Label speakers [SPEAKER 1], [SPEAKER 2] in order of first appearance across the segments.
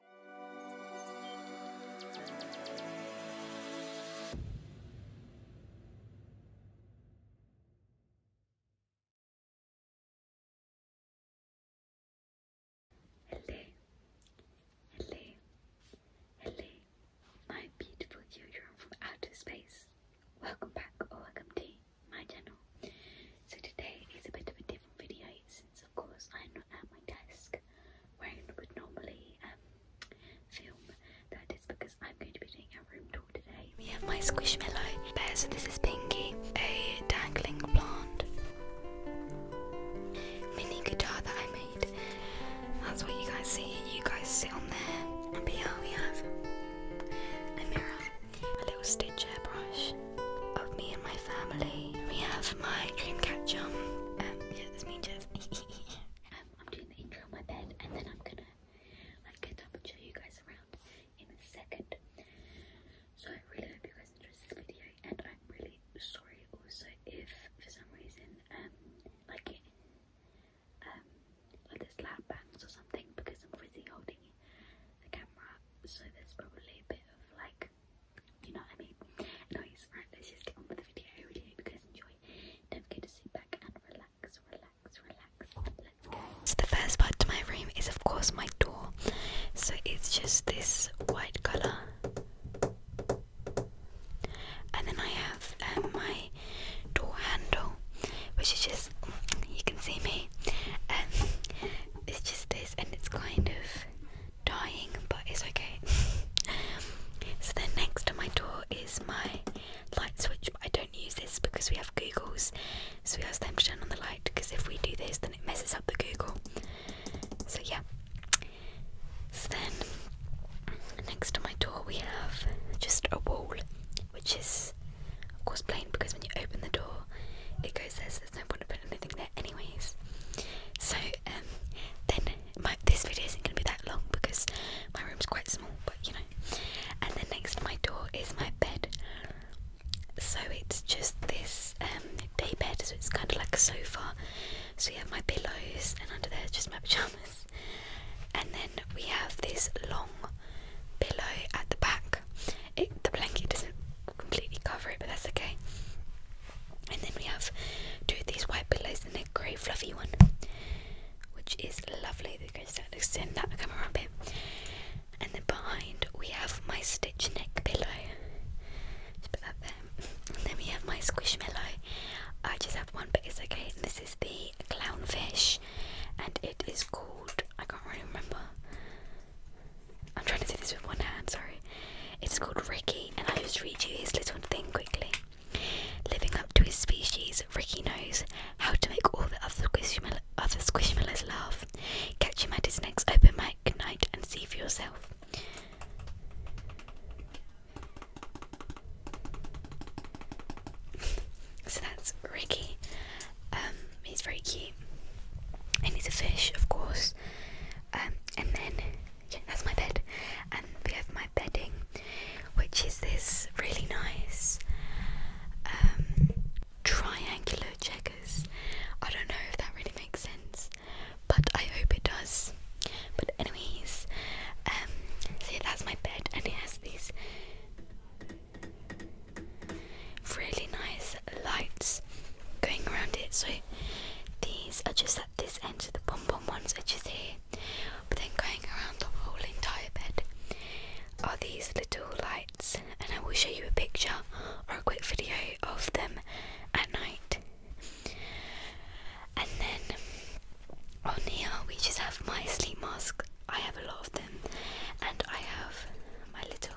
[SPEAKER 1] Hello, hello, hello, my beautiful children from outer space. Welcome back or welcome to my channel. So today is a bit of a different video since of course I'm not at my desk. Um, we have my squishmallow bear, so this is Pinky, a dangling plant mini guitar that I made. That's what you guys see. You guys sit on there. And here we have a mirror, a little stitch hairbrush of me and my family. We have my dream catcher. Um, yeah, me, Jeff. Um, I'm doing the intro on my bed, and then I'm gonna like get up and show you guys around in a second. So I really hope you guys enjoyed this video, and I'm really sorry also if for some reason um like um there's loud bangs or something because I'm busy holding the camera, so there's probably a bit of like you know what I mean? Anyways, right, let's just get on with the video. I really hope you guys enjoy. Don't forget to sit back and relax, relax, relax. So the first part to my room is of course my door. So it's just this white colour. And then I have um, my door handle, which is just you can see me. and it's just this, and it's kind of dying, but it's okay. so then next to my door is my light switch, but I don't use this because we have Googles, so we ask them to turn on the light because if we do this, then it messes up the Google. So yeah. So then next to my door we have just a wall, which is of course plain because when you open the door, it goes as there's no point in putting anything there anyways. So um, then my this video isn't gonna be that long because my room's quite small, but you know. And then next to my door is my bed. So it's just this um, day bed, so it's kinda like a sofa. So you have my pillows and under there is just my pajamas. And then we have this long pillow at the back. It, the blanket doesn't completely cover it, but that's okay. And then we have two of these white pillows and a grey fluffy one, which is lovely. They're going to extend that camera a bit. And then behind we have my stitch neck pillow. Just put that there. And then we have my squishmallow. I just have one, but okay. this is the clownfish, and it is called I can't really remember. I'm trying to do this with one hand, sorry. It's called Ricky, and i just read you his little thing quickly. Living up to his species, Ricky knows how to make all the other, squishmallow, other squishmallows laugh. Catch him at his next open mic night and see for yourself. so that's Ricky. Um, he's very cute and it's a fish, of course. Um, and then yeah, that's my bed, and we have my bedding, which is this really nice um, triangular checkers. I don't know if that really makes sense, but I hope it does. But anyways, see um, so that's my bed, and it has these really nice lights going around it. So these are just at this end, of the pom pom ones are is here. But then going around the whole entire bed are these little lights, and I will show you a picture or a quick video of them at night. And then on here, we just have my sleep mask. I have a lot of them, and I have my little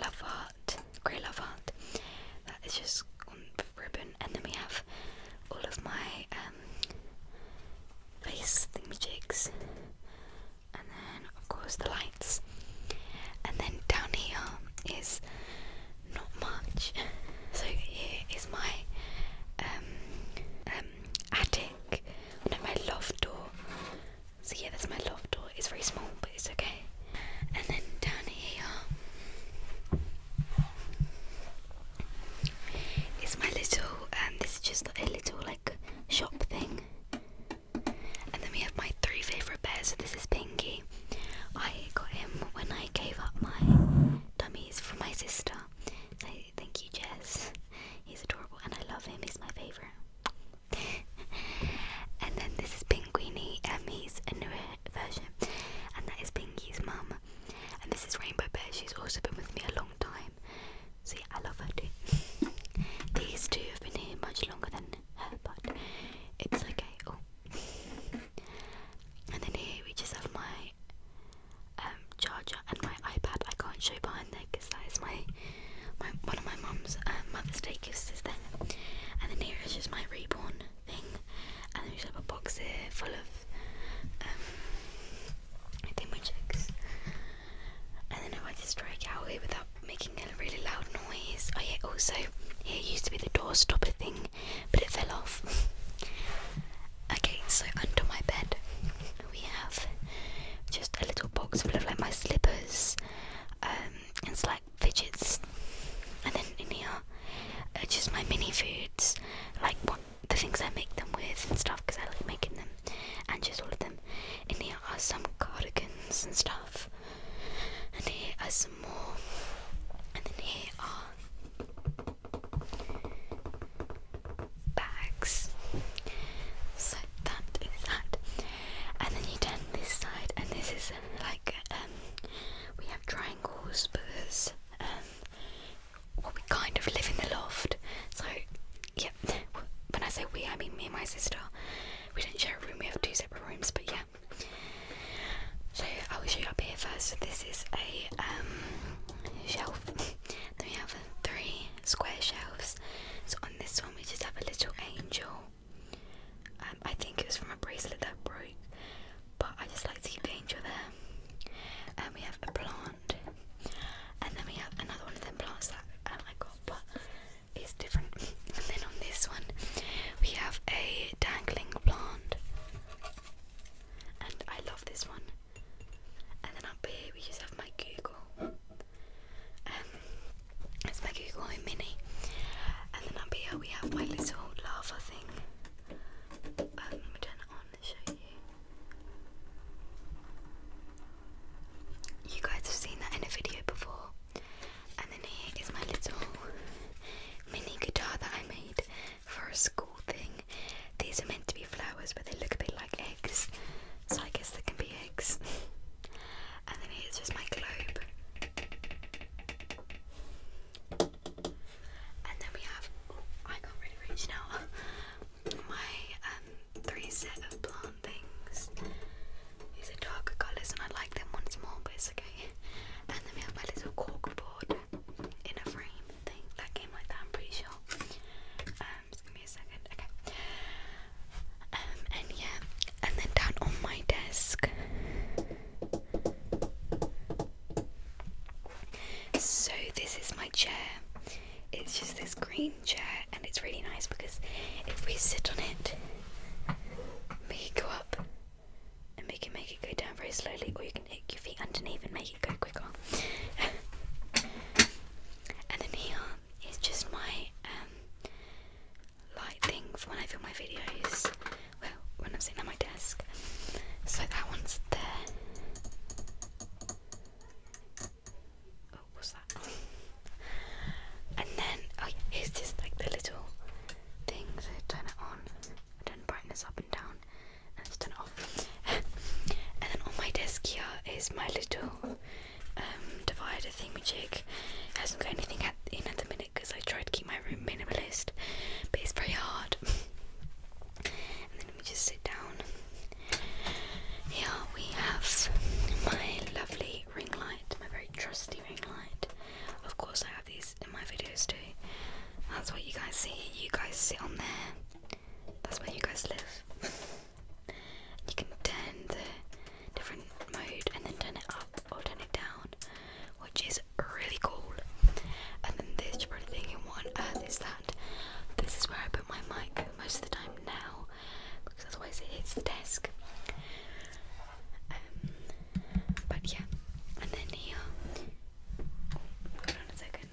[SPEAKER 1] lover heart, grey love heart. That is just on ribbon, and then we have all of my um, face face jigs, and then of course the lights, and then down here is not much. So here is my um, um, attic, no, my loft door. So yeah, that's my loft door. It's very small, but it's okay. And then down here is my little, and um, this is just a little like shop thing. And then we have my three favourite bears. So this is Pinky. I got him when I gave up my dummies for my sister. thank you, Jess. He's adorable and I love him. He's my favourite. and then this is Pinguini, Emmy's um, newer version, and that is Pinky's mum. And this is Rainbow Bear, she's also been with me a long time. See, I love her too. These two have been here much longer than her, but it's okay. Oh. and then here we just have my um, charger and my iPad. I can't show you behind there because that is my my one of my mum's uh, Mother's Day gifts is there, and then here is just my reborn thing, and then we just have a box here full of um, dimmer checks, and then if I just strike out here without making a really loud noise, I oh, yeah, also here used to be the door stopper thing, but it fell off. okay, so under my bed we have just a little box full of like my slippers um, and slight fidgets, and then in here are uh, just my mini foods, like what the things I make them with and stuff, because I like making them, and just all of them. In here are some cardigans and stuff, and here are some more, and then here are bags. So that is that and then you turn this side and this is um, like um, we have triangles because um, we kind of live in the loft so yeah when I say we I mean me and my sister we don't share a room we have two separate rooms but yeah so I will show you up here first so this is a shelf then we have three square shelves so on this one we just have a little angel um, I think it was from a bracelet that broke, but I just like to keep the angel there. And we have a plant, and then we have another one of them plants that um, I got, but it's different. and then on this one, we have a dangling plant, and I love this one. And then up here, we just have my Google. Um, it's Mega Google Mini. And then up here we have my little lava thing. Um, let me turn it on and show you. You guys have seen that in a video before. And then here is my little mini guitar that I made for a school thing. These are meant to be flowers, but they look a bit like eggs, so I guess they can be eggs and then it's just my globe. And then we have, oh, I can't really reach now, my um, three set of plant things. These are darker colours and I like them once more, but it's okay. And then we have my little corkboard in a frame thing that came like that, I'm pretty sure. Um, give me a second, okay. Um, and yeah, and then down on my desk. So, this is my chair. It's just this green chair, and it's really nice because if we sit on it, we can go up and we can make it go down very slowly, or you can kick your feet underneath and make it go quicker. and then here is just my um, light thing for when I film my videos. Well, when I'm sitting at my desk. So that one's there. Oh, what's that? and then, oh yeah, here's just like the little things. So turn it on, and turn brightness up and down, and let's off. and then on my desk here is my little um, divider thingamajig. Hasn't got anything in at the minute because I try to keep my room minimalist, but it's very hard. and then let just sit down. Here we have my lovely ring light, my very trusty ring light. Of course, I have these in my videos too. That's what you guys see. You guys sit on there. That's where you guys live. You can turn the different mode and then turn it up or turn it down, which is really cool. And then this, you're probably thinking, what uh, is that? This is where I put my mic most of the time now, because otherwise it hits the desk. Um, but yeah, and then here. hold on a second.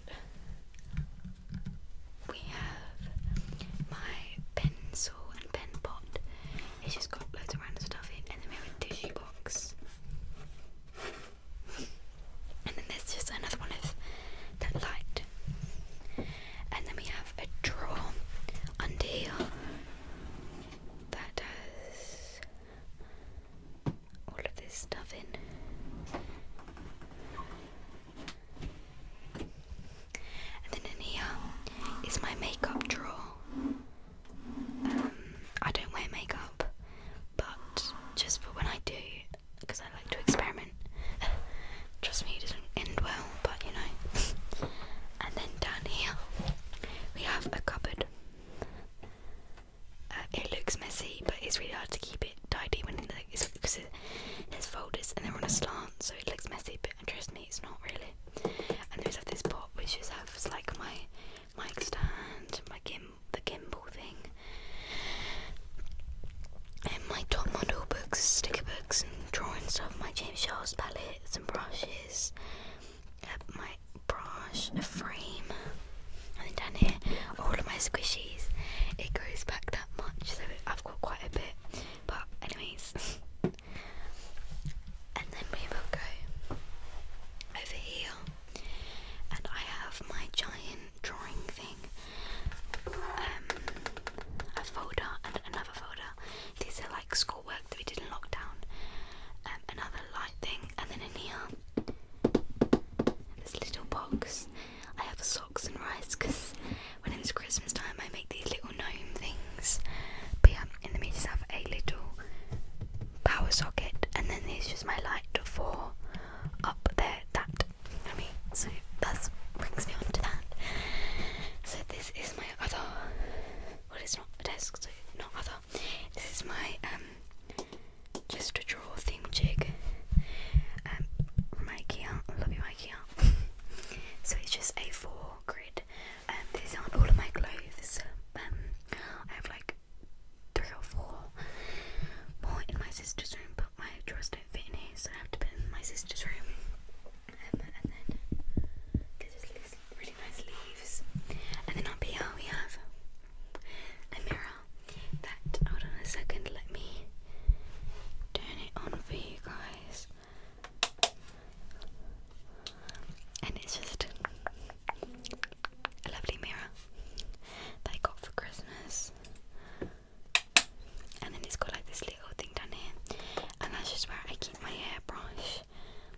[SPEAKER 1] We have my pencil pen pot. It's just got loads of random stuff in, and then we have a tissue box. And then there's just another one of that light. And then we have a drawer under here that does all of this stuff in. And then in here is my makeup drawer. Um, I don't wear makeup, but just for when I do, because I like to experiment. Trust me, it doesn't end well, but you know. and then down here, we have a cupboard. Uh, it looks messy, but it's really hard to keep it tidy when it's because it, there's folders and they're on a slant, so it looks messy. But trust me, it's not really. And there's have this pot which just has like my mic stand, my gim gimbal thing, and my top model books, sticker books, and drawing stuff. My James Charles palettes and brushes. Uh, my brush, a frame, and then down here, all of my squishies. It goes back that much, so I've got quite a bit. But anyways, and then we will go over here. And I have my giant drawing thing, um, a folder and another folder. These are like schoolwork that we did in lockdown. Um, another light thing, and then in here, this little box. I have socks and rice because when it's Christmas time, I make these little gnome things. But yeah, in the middle, have a little power socket, and then there's just my light for up there. That I mean, so that brings me on to that. So this is my other. Well, it's not a desk, so not other. This is my um, just a draw thing jig. Um, from IKEA. I love you, IKEA. so it's just A4 Oh, Grid And um, these aren't all of my clothes. Um, I have like three or four more in my sister's room, but my drawers don't fit in here, so I have to put them in my sister's room. Um, and then, because there's really nice leaves. And then up here we have a mirror that, hold on a second, let me turn it on for you guys and it's just a lovely mirror that got for Christmas. And then it's got like this little thing down here, and that's just where I keep my hairbrush,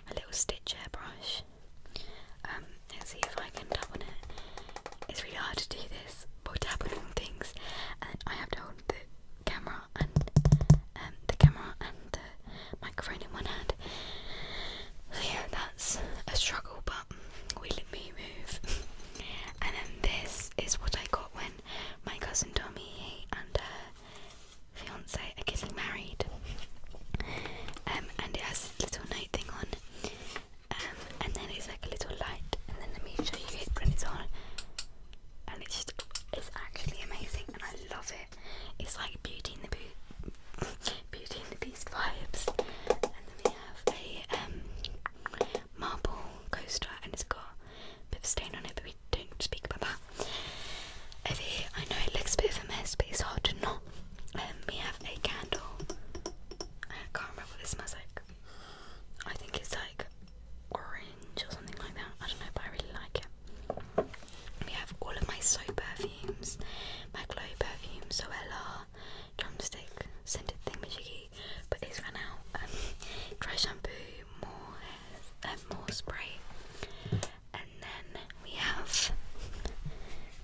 [SPEAKER 1] my little Stitch hairbrush. let's um, see if I can tap on it. It's really hard to do this, but tap things, and I have to the camera and um, the camera and the microphone in one hand. yeah, that's a struggle, but we let me move. and then this is what I got when my cousin Tommy and her fiance are getting married. Um, and it has little night thing on, um, and then it's like a little light, and then let me show you it when it's on and it's just it's actually amazing and I love it. It's like Beauty and the Be Beauty and the Beast vibes. And then we have a um, marble coaster and it's got a bit of stain on it, but we don't speak about that. Over I know it looks a bit of a mess, but it's hard to not. Um, we have a candle. I can't remember what this smells like. I think it's like orange or something like that. I don't know, but I really like it. We have all of my soap perfumes, my glow perfume, Zoella, drumstick, scented thingamajiggy, but these ran out. Um, dry shampoo, more um, more spray, and then we have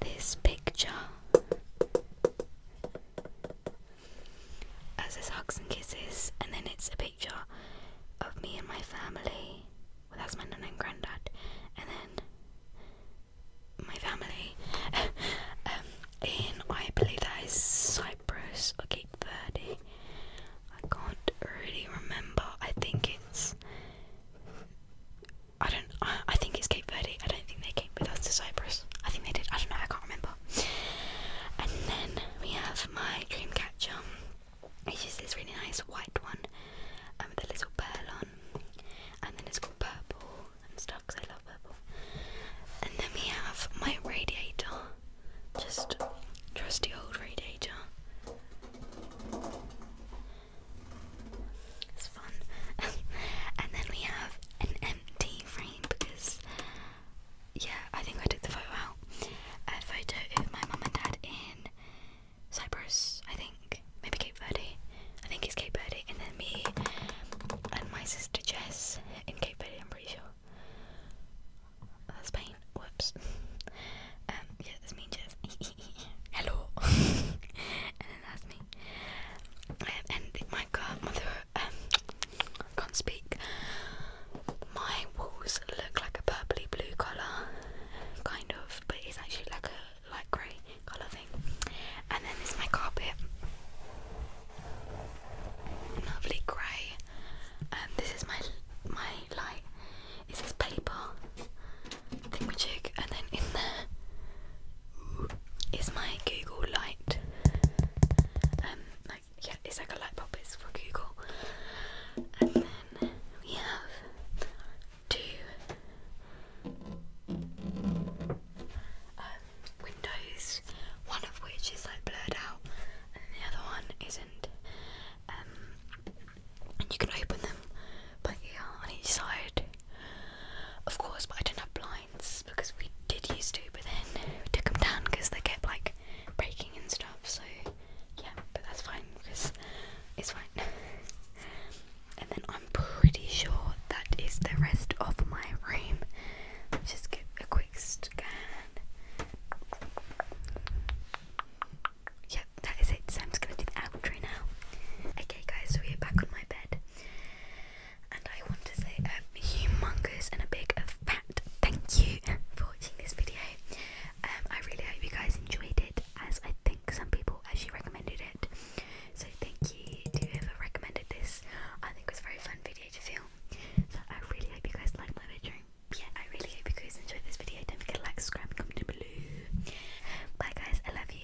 [SPEAKER 1] this picture. As says hugs and kisses, and then it's a picture of me and my family. Well, that's my nan and granddad, and then my family. um, in I believe that is Cyprus or Cape Verde. I can't really remember. I think it's. I don't. I, I think it's Cape Verde. I don't think they came with us to Cyprus. I think they did. I don't know. I can't remember. And then we have my dream catcher. It's just this really nice white one um, with a little pearl on. And then it's got purple and stuff because I love purple. And then we have my radiator. Just trusty old radiator. It's fun. and then we have an empty frame because yeah, I think I took the photo out. A photo of my mum and dad in Cyprus, I think. Maybe Cape Verde. I think it's Cape Verde. And then me and my sister Jess in Cape Verde, I'm pretty sure. That's Spain. Whoops. um, yeah, that's me Jess. Hello. and then that's me. Um, and my car, um, I can't speak. My walls look like a purpley blue colour, kind of, but it's actually like a light grey colour thing. And then there's my carpet, lovely grey. Um, this is my my light. It says paper thingamajig, and then in there is my Google light. Um, yeah, it's like a light bulb. It's for Google. And then we have two um, windows, one of which is like blurred out, and the other one isn't. Um, and you can open them by ear on each side, of course. But I don't have blinds because we did used to, but then we took them down because they kept like breaking and stuff. So yeah, but that's fine because it's fine. and then I'm pretty sure that is the rest of my room. just give a quick scan. Yeah, that is it. So gonna do the outro now. Okay, guys, so we're back on my bed, and I want to say a um, humongous and a big thank you for watching this video. Um, I really hope you guys enjoyed it, as I think some people actually recommended it. So thank you to whoever recommended this. I think it was a very fun video to film. So I really hope you guys liked my bedroom. Yeah, I really hope you guys enjoyed this video. Don't forget to like, subscribe, comment below. Bye guys, I love you.